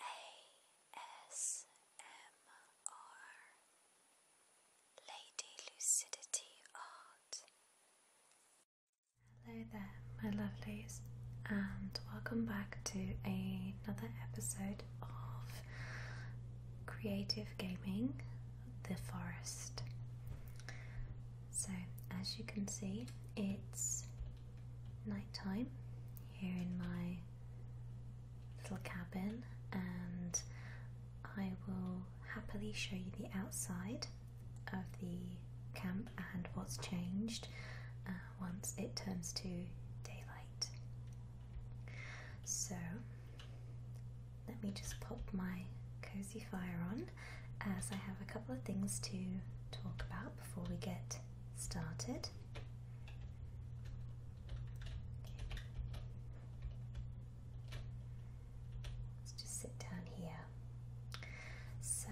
ASMR Lady Lucidity Art. Hello there, my lovelies, and welcome back to another episode of Creative Gaming The Forest. So, as you can see, it's nighttime here in my little cabin, and I will happily show you the outside of the camp and what's changed uh, once it turns to daylight. So, let me just pop my cozy fire on as I have a couple of things to talk about before we get started. Let's just sit down here. So,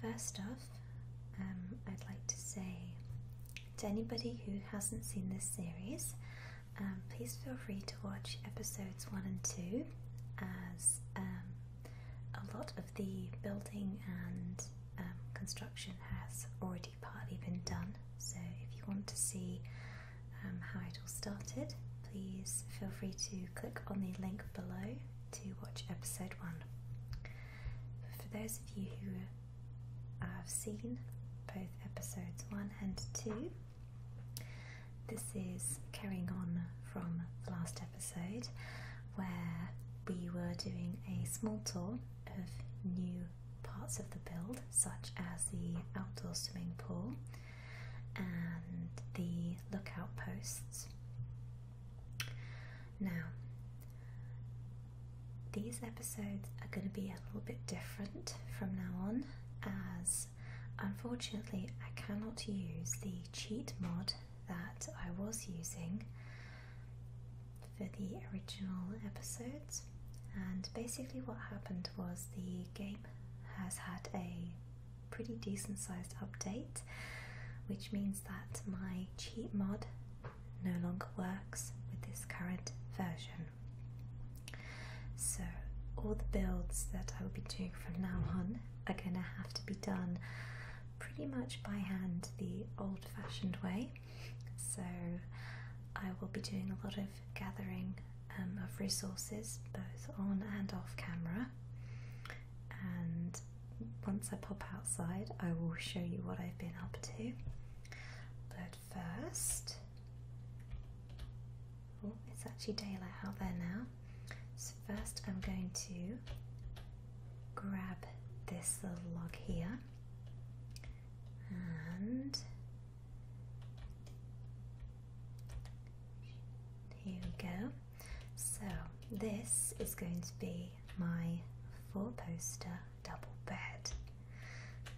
first off, um, I'd like to say to anybody who hasn't seen this series, um, please feel free to watch episodes one and two as um, a lot of the building and um, construction has already partly been done. So, if you want to see um, how it all started, please feel free to click on the link below to watch episode one. for those of you who have seen both episodes one and two, this is carrying on from the last episode where we were doing a small tour of new parts of the build, such as the outdoor swimming pool and the lookout posts. Now, these episodes are going to be a little bit different from now on as Unfortunately, I cannot use the cheat mod that I was using for the original episodes. And basically, what happened was the game has had a pretty decent sized update, which means that my cheat mod no longer works with this current version. So, all the builds that I will be doing from now on are going to have to be done pretty much by hand the old fashioned way. So I will be doing a lot of gathering um, of resources both on and off camera. And once I pop outside, I will show you what I've been up to. But first, Oh, it's actually daylight out there now. So first I'm going to grab this little log here and here we go. So this is going to be my four poster double bed.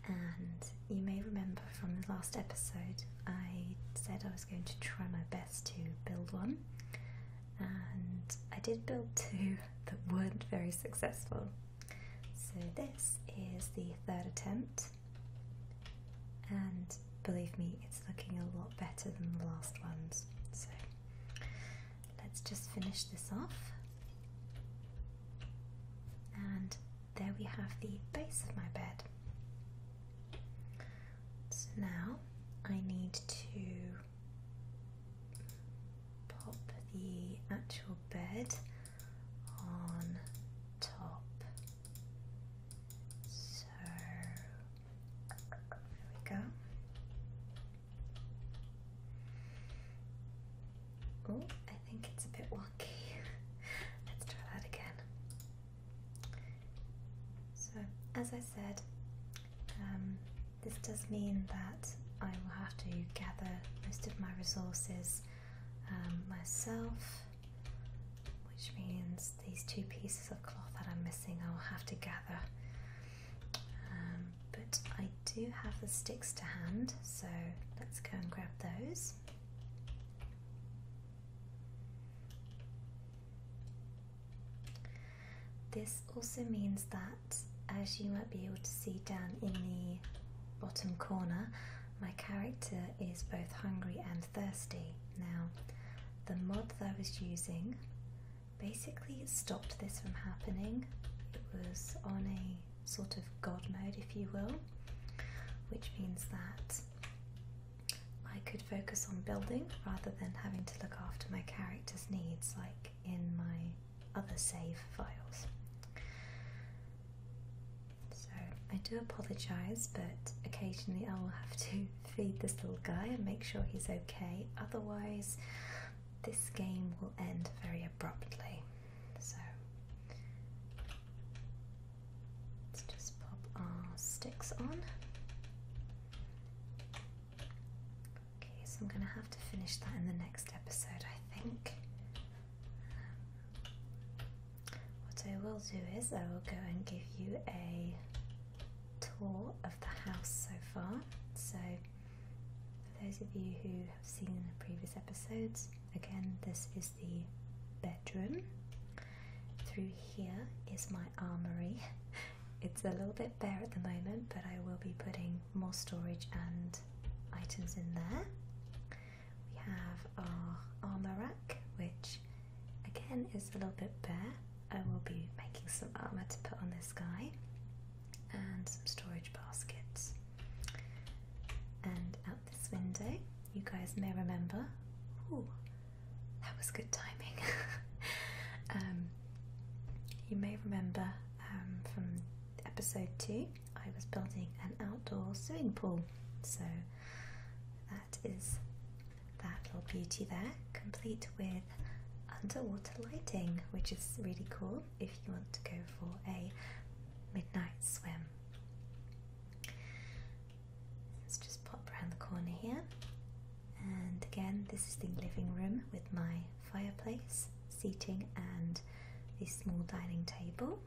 And you may remember from the last episode I said I was going to try my best to build one, and I did build two that weren't very successful. So, this is the third attempt, and believe me, it's looking a lot better than the last ones. So, let's just finish this off, and there we have the base of my bed. So now I need to pop the actual bed on top. So there we go. Oh, I think it's a bit wonky. Let's try that again. So, as I said, um, this does mean that I will have to gather most of my resources um, myself, which means these two pieces of cloth that I'm missing I'll have to gather. Um, but I do have the sticks to hand, so let's go and grab those. This also means that, as you might be able to see down in the bottom corner, my character is both hungry and thirsty. Now, the mod that I was using basically stopped this from happening. It was on a sort of god mode, if you will, which means that I could focus on building rather than having to look after my character's needs like in my other save files. So I do apologise, but occasionally I will have to feed this little guy and make sure he's okay, otherwise, this game will end very abruptly. So Let's just pop our sticks on. Okay, so I'm going to have to finish that in the next episode, I think. what I will do is I will go and give you a tour of the house so far. So, for those of you who have seen the previous episodes, again, this is the through here is my armory. It's a little bit bare at the moment, but I will be putting more storage and items in there. We have our armor rack, which again is a little bit bare. I will be making some armor to put on this guy, and some storage baskets. And out this window you guys may remember. that was good timing. Um, you may remember um, from episode two, I was building an outdoor swimming pool. So that is that little beauty there, complete with underwater lighting, which is really cool if you want to go for a midnight swim. Let's just pop around the corner here. And again, this is the living room with my fireplace, seating, and this small dining table.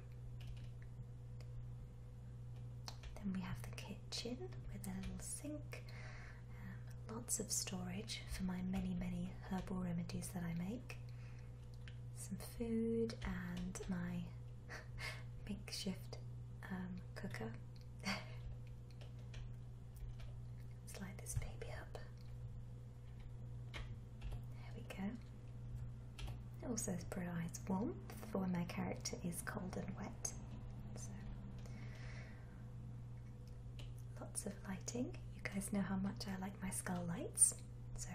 Then we have the kitchen with a little sink, um, lots of storage for my many, many herbal remedies that I make, some food, and my makeshift um, cooker. let this baby up. There we go. also provides warmth for when my character is cold and wet. So, lots of lighting. You guys know how much I like my skull lights. So,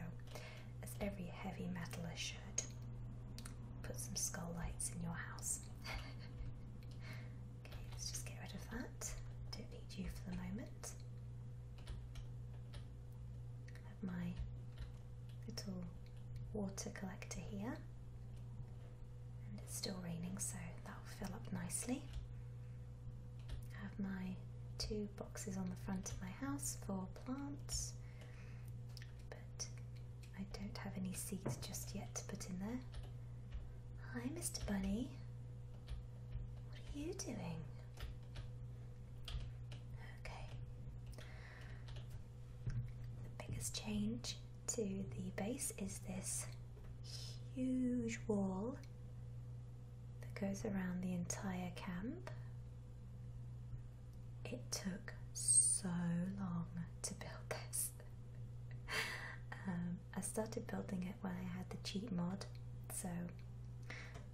as every heavy metal issue. Put some skull lights in your house. okay, let's just get rid of that. Don't need you for the moment. have my little water collector here. And it's still raining, so that'll fill up nicely. I have my two boxes on the front of my house for plants. But I don't have any seeds just yet to put in there. Hi, Mr. Bunny. What are you doing? Okay. The biggest change to the base is this huge wall that goes around the entire camp. It took so long to build this. Um, I started building it when I had the cheat mod, so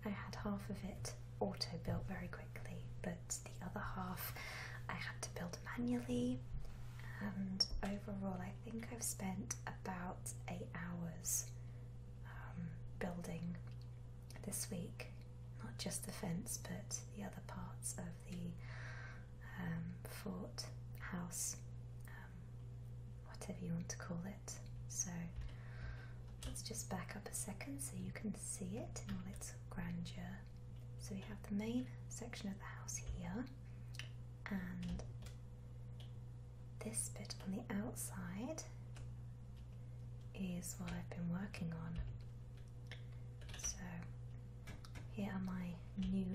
I had half of it auto built very quickly, but the other half I had to build manually. And overall, I think I've spent about eight hours um, building this week, not just the fence, but the other parts of the um, fort house, um, whatever you want to call it. So let's just back up a second so you can see it in all its grandeur. So we have the main section of the house here, and this bit on the outside is what I've been working on so here are my new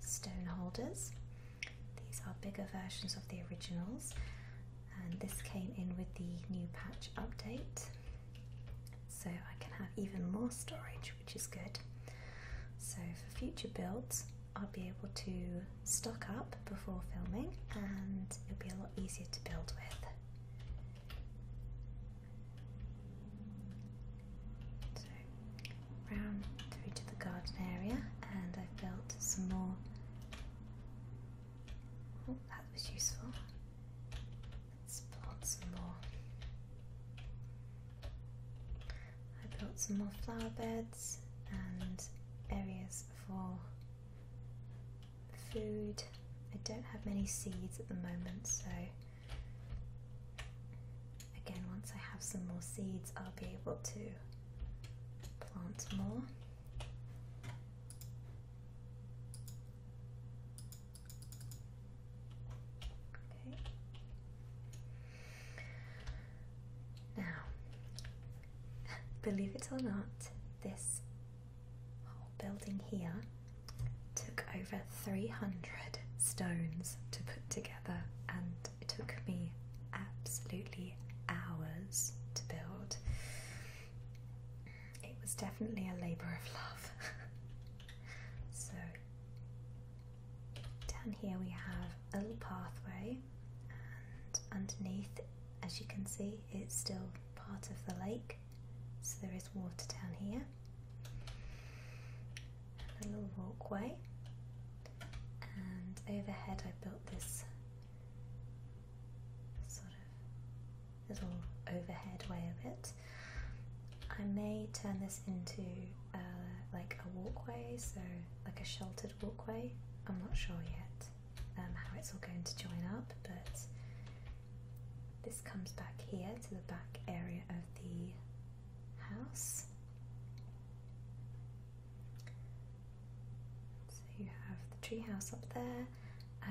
stone holders. These are bigger versions of the originals and this came in with the new patch update so I can have even more storage which is good. So for future builds I'll be able to stock up before filming and it'll be a lot easier to build with. So round through to the garden area and I've built some more. Oh, that was useful. let some more. I built some more flower beds and areas for food. I don't have many seeds at the moment, so again, once I have some more seeds, I'll be able to plant more. Okay. Now, believe it or not, this whole building here took over 300 stones to put together, and it took me absolutely hours to build. It was definitely a labour of love. so, down here we have a little pathway, and underneath, as you can see, it's still part of the lake. So there is water down here. And a little walkway. And overhead I built this sort of little overhead way of it. I may turn this into uh, like a walkway, so like a sheltered walkway. I'm not sure yet um, how it's all going to join up, but this comes back here to the back area of the house. So you have the tree house up there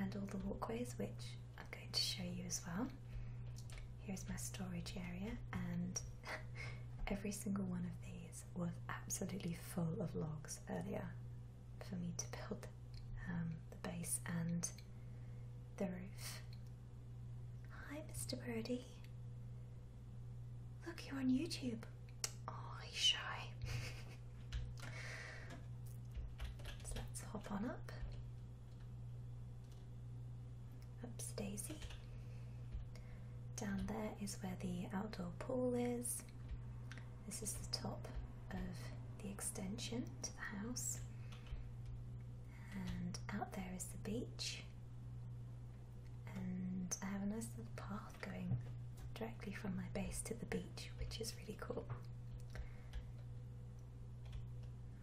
and all the walkways, which I'm going to show you as well. Here's my storage area, and every single one of these was absolutely full of logs earlier for me to build um, the base and the roof. Hi, Mr. Birdie. Look, you're on YouTube. Oh, he's shy. so let's hop on up. Up's Daisy. Down there is where the outdoor pool is. This is the top of the extension to the house, and out there is the beach. And I have a nice little path going directly from my base to the beach, which is really cool.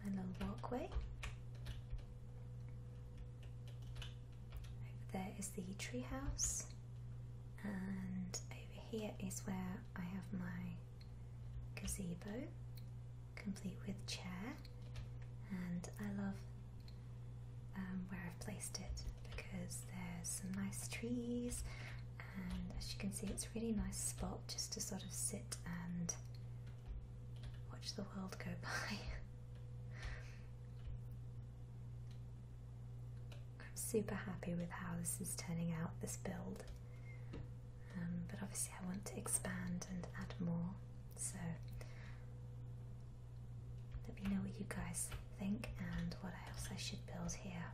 My little walkway. Over there is the tree house, and over here is where I have my gazebo, complete with chair, and I love um, where I've placed it because there's some nice trees, and as you can see, it's a really nice spot just to sort of sit and watch the world go by. I'm super happy with how this is turning out, this build. Um, but obviously, I want to expand and add more. So, let me know what you guys think and what else I should build here.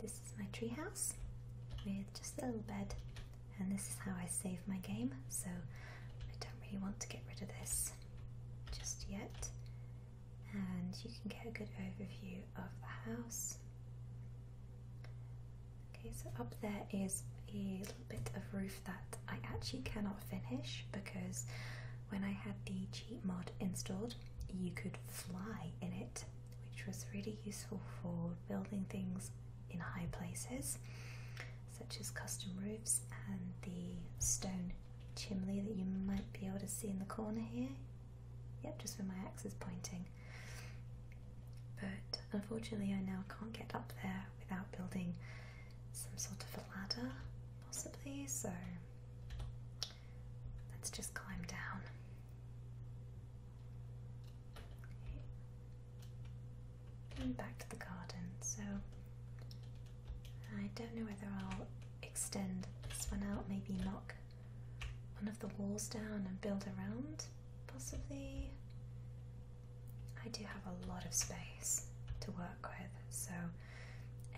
This is my treehouse with just a little bed, and this is how I save my game. So, I don't really want to get rid of this just yet and you can get a good overview of the house. Okay, so up there is a little bit of roof that I actually cannot finish because when I had the cheat mod installed, you could fly in it, which was really useful for building things in high places, such as custom roofs and the stone chimney that you might be able to see in the corner here. Yep, just where my axe is pointing. But unfortunately, I now can't get up there without building some sort of a ladder, possibly, so let's just climb down. Okay. back to the garden. So I don't know whether I'll extend this one out, maybe knock one of the walls down and build around, possibly. I do have a lot of space to work with, so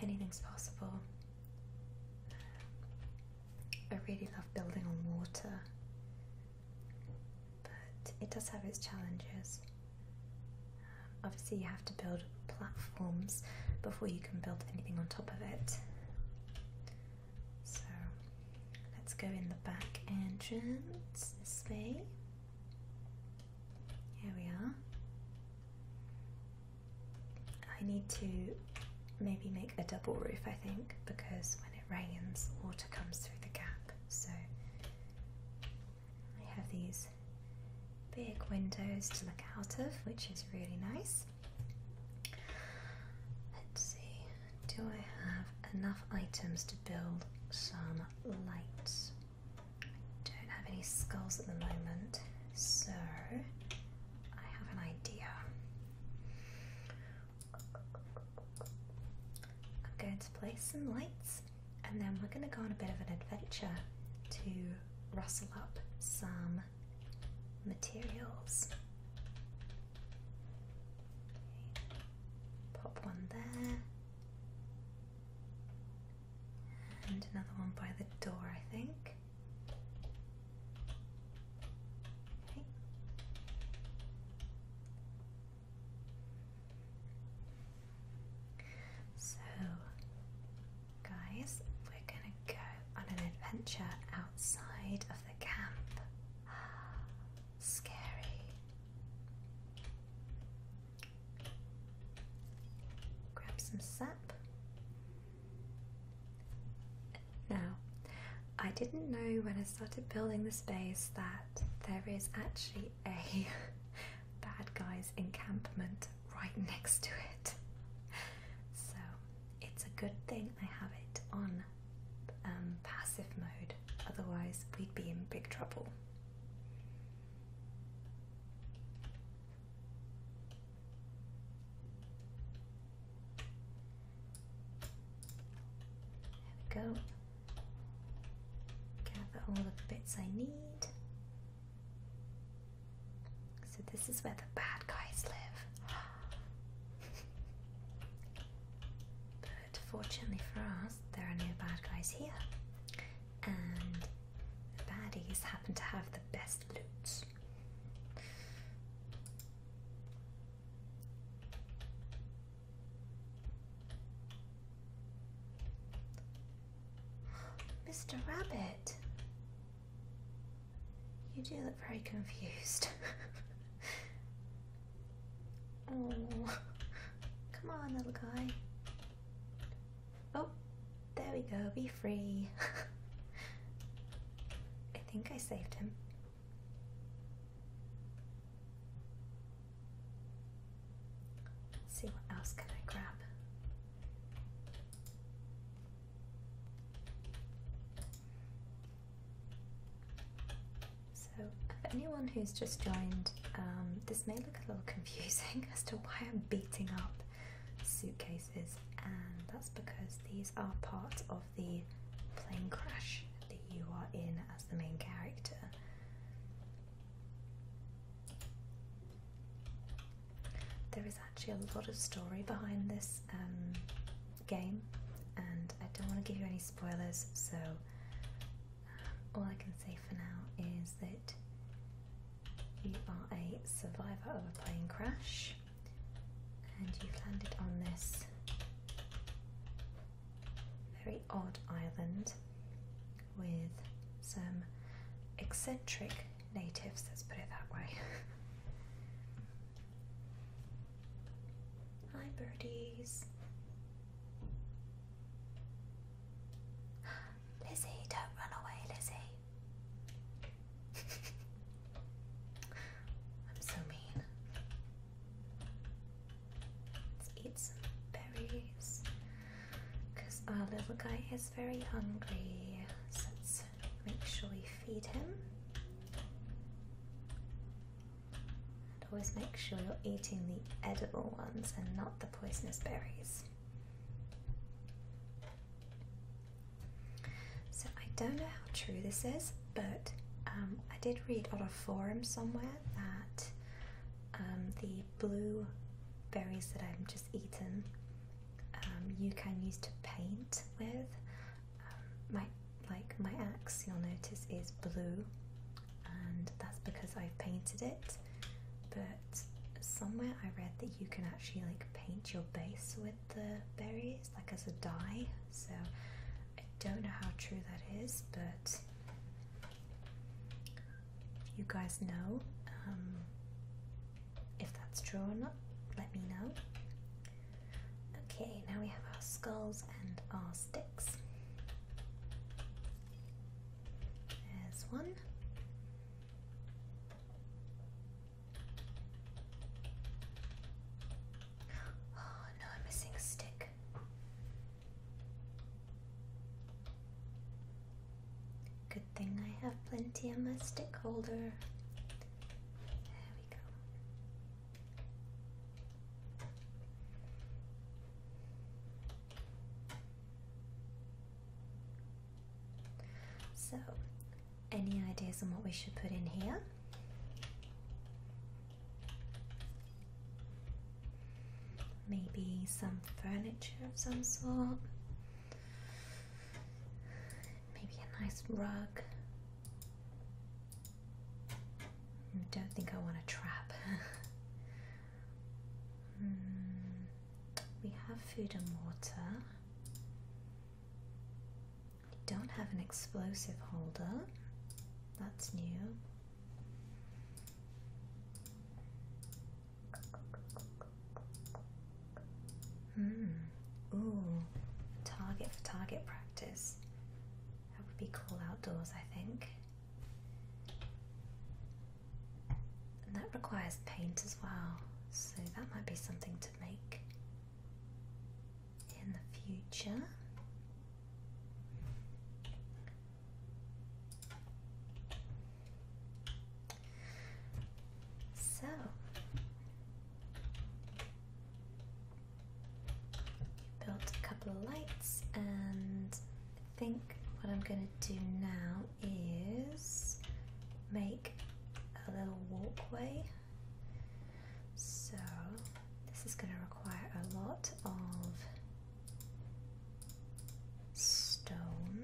anything's possible. I really love building on water, but it does have its challenges. obviously, you have to build platforms before you can build anything on top of it. So let's go in the back entrance this way. Here we are. I need to maybe make a double roof, I think, because when it rains, water comes through the gap. So I have these big windows to look out of, which is really nice. Let's see, do I have enough items to build some lights? I don't have any skulls at the moment, so I have an idea. I'm going to place some lights and then we're going to go on a bit of an adventure to rustle up some materials. Pop one there. And another one by the door, I think. So Guys, we're gonna go on an adventure outside of the camp. Scary. Grab some sap. Now, I didn't know when I started building the space that there is actually a bad guys encampment right next to it. So it's a good thing I have it on um, passive mode, otherwise, we'd be in big trouble. There we go. Gather all the bits I need. So this is where the bad guys live. but fortunately for us, there are no bad guys here. And the baddies happen to have the best loot. Mr. Rabbit, you do look very confused. oh, come on, little guy. Oh, there we go, be free. I think I saved him. Let's see what else can I grab. So, for anyone who's just joined, um, this may look a little confusing as to why I'm beating up suitcases, and that's because these are part of the plane crash that you are in as the main character. There is actually a lot of story behind this um, game, and I don't want to give you any spoilers, so um, all I can say for now is that you are a survivor of a plane crash, and you've landed on this very odd island with some eccentric natives, let's put it that way. Hi, birdies. Lizzie, don't run away, Lizzie. I'm so mean. Let's eat some berries our little guy is very hungry. So let's make sure we feed him. And always make sure you're eating the edible ones and not the poisonous berries. So I don't know how true this is, but um, I did read on a forum somewhere that um, the blue berries that I've just eaten um, you can use to paint with. Um, my like my axe, you'll notice, is blue, and that's because I've painted it. But somewhere I read that you can actually like paint your base with the berries, like as a dye. So I don't know how true that is, but you guys know. Um, if that's true or not, let me know. Okay, now we have our skulls and our sticks. There's one. Oh no, I'm missing a stick. Good thing I have plenty in my stick holder. There we go. So, any ideas on what we should put in here? Maybe some furniture of some sort. Maybe a nice rug. I don't think I want a trap. Hmm. we have food and water. We don't have an explosive holder. That's new. Hmm. Ooh. Target for target practice. That would be cool outdoors, I think. And that requires paint as well, so that might be something to make in the future. So you built a couple of lights, and I think what I'm going to do now is make a little walkway. So this is going to require a lot of stones.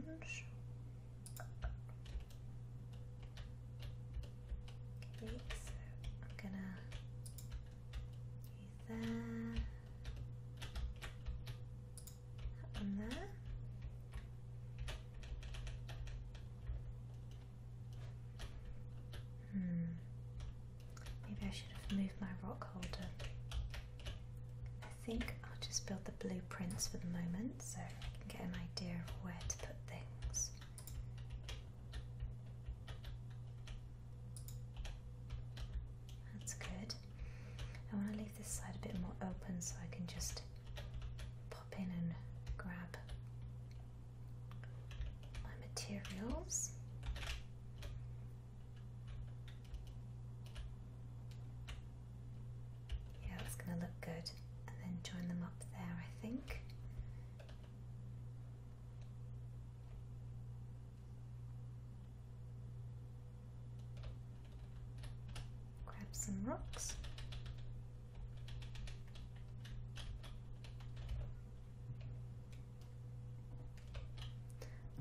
Okay, so I'm gonna do that, that one there. Hmm. Maybe I should have moved my rock holder. I think I'll just build the blueprints for the moment so I can get an idea of where to put things. That's good. I want to leave this side a bit more open so I can just pop in and grab my materials. Yeah, that's going to look good. And then join them up there, I think. Grab some rocks.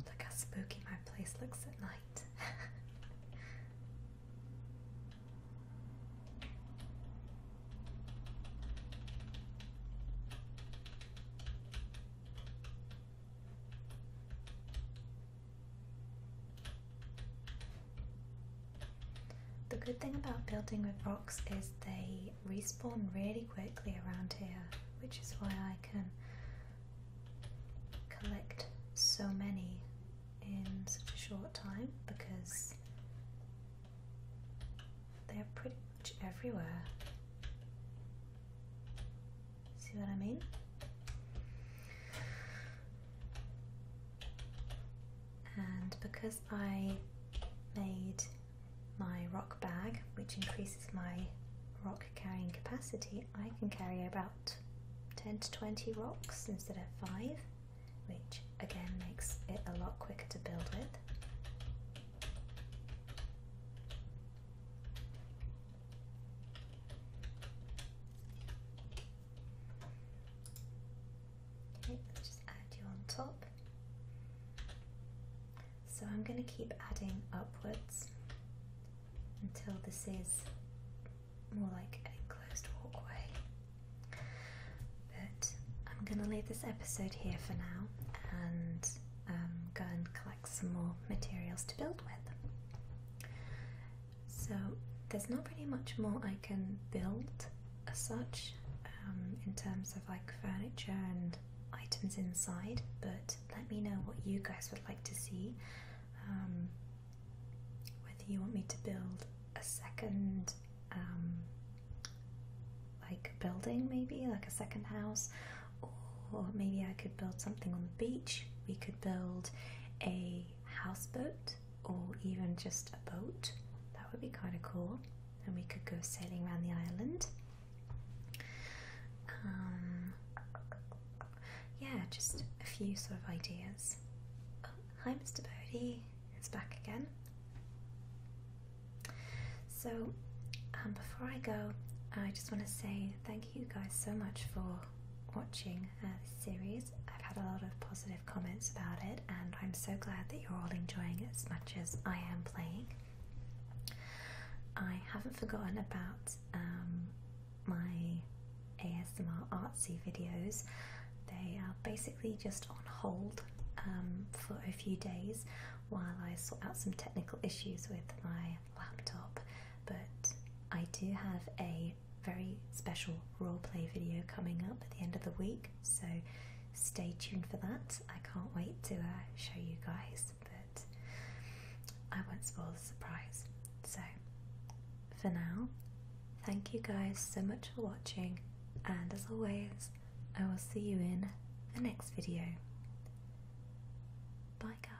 Look how spooky my place looks at night. The good thing about building with rocks is they respawn really quickly around here, which is why I can collect so many in such a short time because they're pretty much everywhere. See what I mean? And because I made my rock bag, which increases my rock carrying capacity, I can carry about 10 to 20 rocks instead of 5, which again makes it a lot quicker to build with. Okay, just add you on top. So I'm going to keep adding upwards until this is more like an enclosed walkway. But I'm gonna leave this episode here for now and um, go and collect some more materials to build with. So there's not really much more I can build as such um, in terms of like furniture and items inside, but let me know what you guys would like to see. Um, whether you want me to build a second um, like building maybe like a second house or maybe I could build something on the beach we could build a houseboat or even just a boat that would be kind of cool and we could go sailing around the island um, yeah, just a few sort of ideas. Oh, hi, Mr. Bodie. It's back again. So, um, before I go, I just want to say thank you guys so much for watching uh, this series. I've had a lot of positive comments about it, and I'm so glad that you're all enjoying it as much as I am playing. I haven't forgotten about um, my ASMR artsy videos. They are basically just on hold um, for a few days while I sort out some technical issues with my laptop. But I do have a very special roleplay video coming up at the end of the week, so stay tuned for that. I can't wait to uh, show you guys. But I won't spoil the surprise. So, for now, thank you guys so much for watching, and as always, I will see you in the next video. Bye, guys.